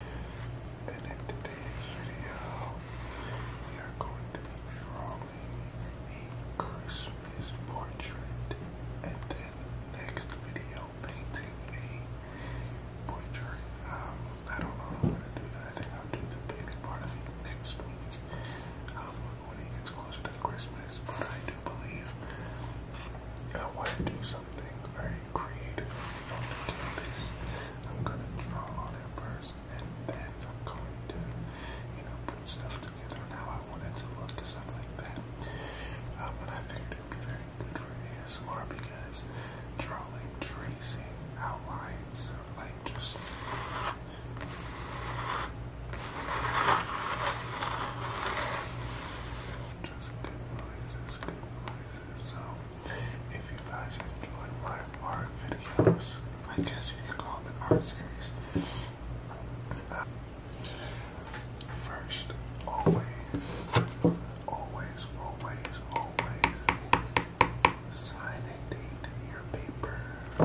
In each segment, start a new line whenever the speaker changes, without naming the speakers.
And in today's video, we are going to be drawing a Christmas portrait. And then next video, painting a portrait. Um, I don't know if I'm going to do that. I think I'll do the painting part of it next week um, when it gets closer to Christmas. But I do believe I want to do something something very creative I'm gonna draw on it first, and then I'm going to, you know, put stuff together on how I want it to look and stuff like that. Um, and I figured it'd be very good for ASMR because drawing, tracing, outlines, or like just. Just good noises, good noises. So if you guys enjoy my art videos, I guess you can call it an art series. first, always, always, always, always sign a date your paper.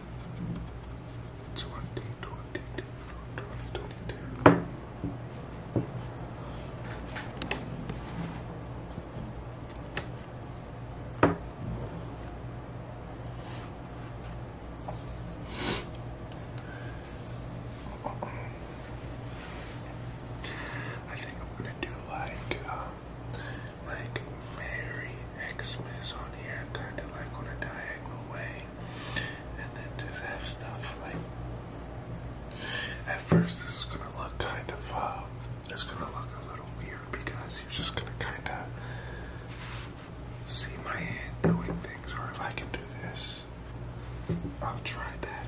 2022, 2022. I think I'm gonna do like, uh, like Merry Xmas on here, kind of like on a diagonal way, and then just have stuff like. At first, this is gonna look kind of. Uh, it's gonna look a little weird because you're just gonna kind of see my hand doing things, or if I can do this, I'll try that.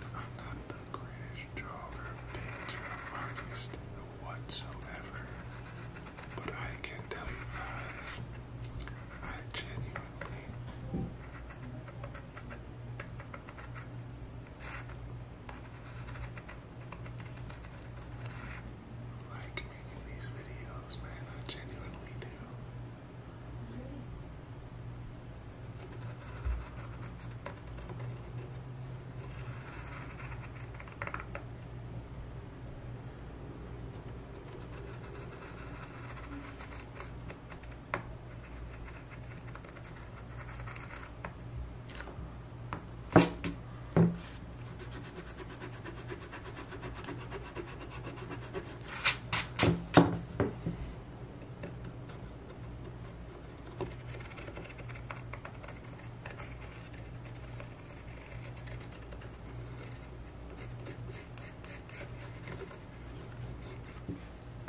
i not the greatest drawer, painter, artist whatsoever, but I can tell you guys, I genuinely like making these videos, man. I genuinely do.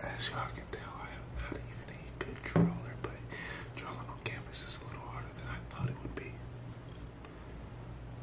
As y'all can tell, I am not even a good drawer, but drawing on canvas is a little harder than I thought it would be.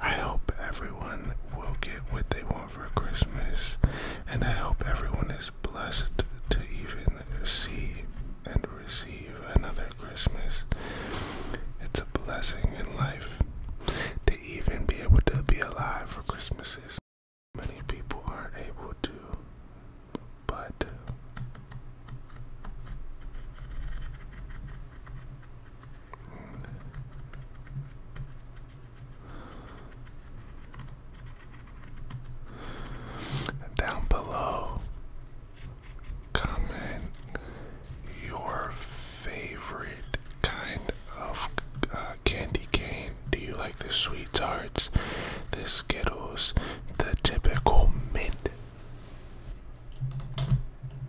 I hope everyone will get what they want for Christmas, and I hope everyone is blessed to even see and receive another Christmas. It's a blessing in life to even be able to be alive for Christmases. Many people aren't able to, but down below, comment your favorite kind of uh, candy cane. Do you like the sweet tarts, the Skittles, the typical mint?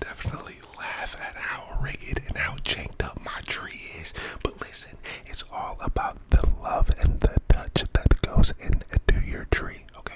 Definitely laugh at how rigged and how janked up my tree is. But listen, it's all about the love and the touch that goes into your tree, okay?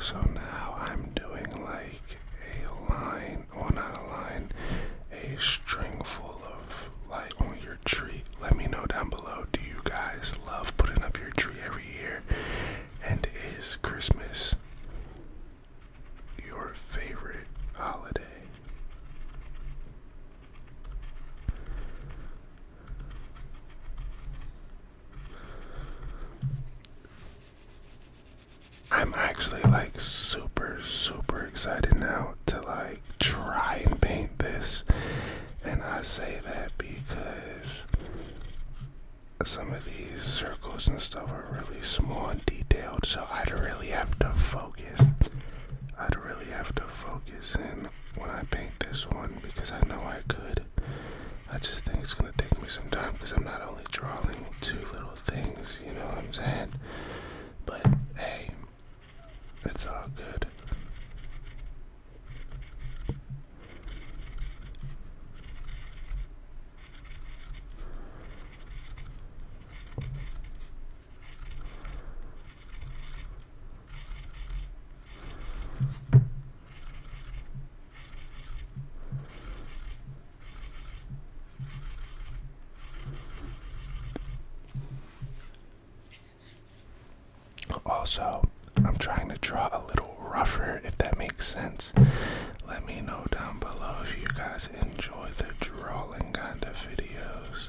So now I'm doing like a line line or a line a string full of light on your tree let me know down below do you guys love putting up your tree every year and is christmas your favorite holiday I'm actually like super, super excited now to like try and paint this. And I say that because some of these circles and stuff are really small and detailed, so I'd really have to focus. I'd really have to focus in when I paint this one because I know I could. I just think it's gonna take me some time because I'm not only drawing two little things, you know what I'm saying? But hey, it's all good. Also, I'm trying to draw a little rougher if that makes sense. Let me know down below if you guys enjoy the drawing kind of videos.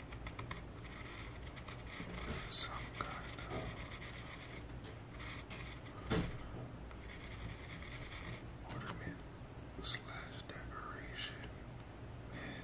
This is some kind of ornament slash decoration, man.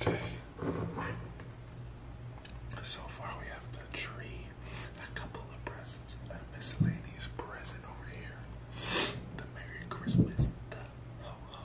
Okay. So far we have the tree, a couple of presents, a miscellaneous present over here. The Merry Christmas, the ho ho.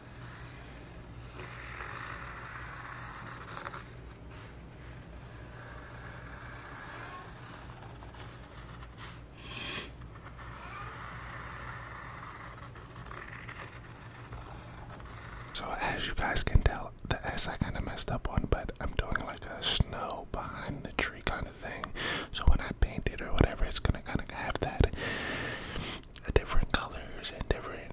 So as you guys can tell, the S I kind of messed up on, but I'm doing like a snow behind the tree kind of thing. So when I paint it or whatever, it's gonna kind of have that uh, different colors and different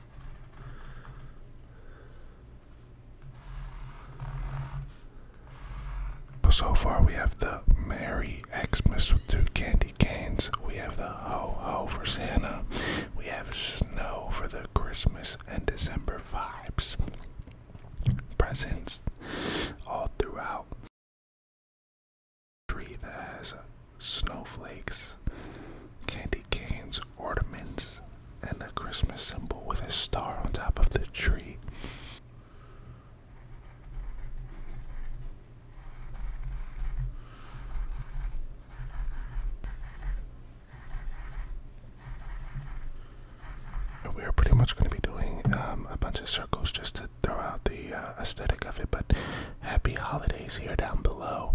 So far we have the Merry Xmas with two candy canes. We have the Ho Ho for Santa. We have Snow for the Christmas and December vibes. Presents all throughout. Tree that has a snowflakes, candy canes, ornaments, and a Christmas symbol with a star on top of the tree. we are pretty much going to be doing um, a bunch of circles just to throw out the uh, aesthetic of it, but happy holidays here down below.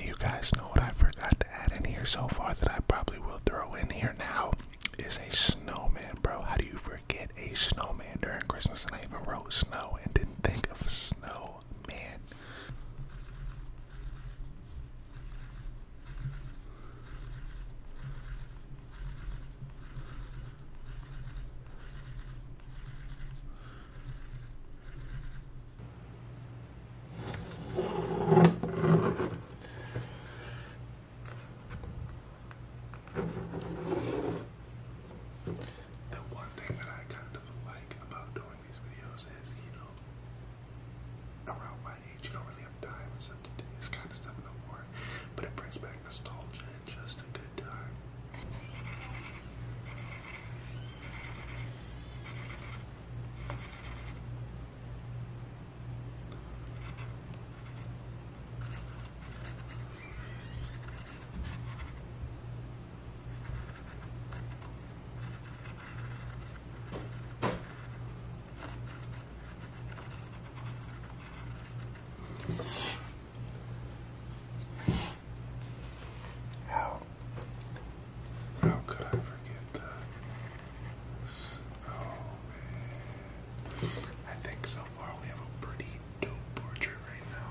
you guys know what I forgot to add in here so far that I probably will throw in here now is a snowman, bro. How do you forget a snowman during Christmas? And I even wrote snow and didn't think of a snowman? The one thing that I kind of like about doing these videos is, you know, around my age, you don't really have time to do this kind of stuff no more, but it brings back nostalgia and just a good time. How how could I forget that? Oh man. I think so far we have a pretty dope portrait right now.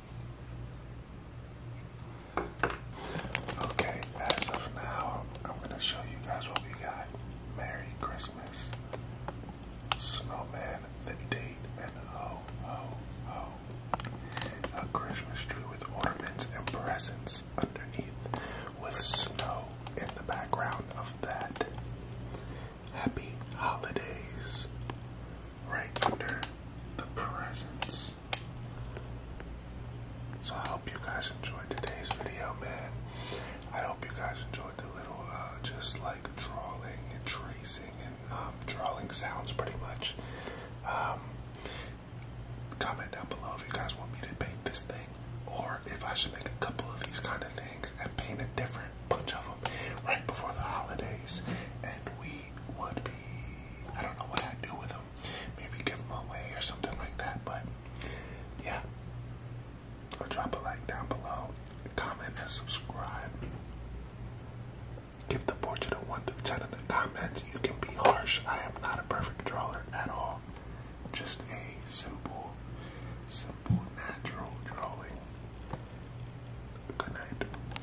Okay, as of now, I'm gonna show you guys what we got. Merry Christmas, Snowman, the date, and ho, ho, ho. A Christmas tree with ornaments and presents underneath, with snow in the background of that. Happy holidays, right under the presents. So I hope you guys enjoyed today's video, man. I hope you guys enjoyed the little, uh, just like drawing and tracing and um, drawing sounds, pretty much. Um, comment down below if you guys want me to paint this thing, or if I should make a couple of these kind of things and paint a different bunch of them right before the holidays. And we would be I don't know what I'd do with them. Maybe give them away or something like that. But yeah, or drop a like down below, comment and subscribe. Give the to the one through ten in the comments. You can be harsh. I am not a perfect drawer at all. Just a simple, simple, natural drawing. Good night.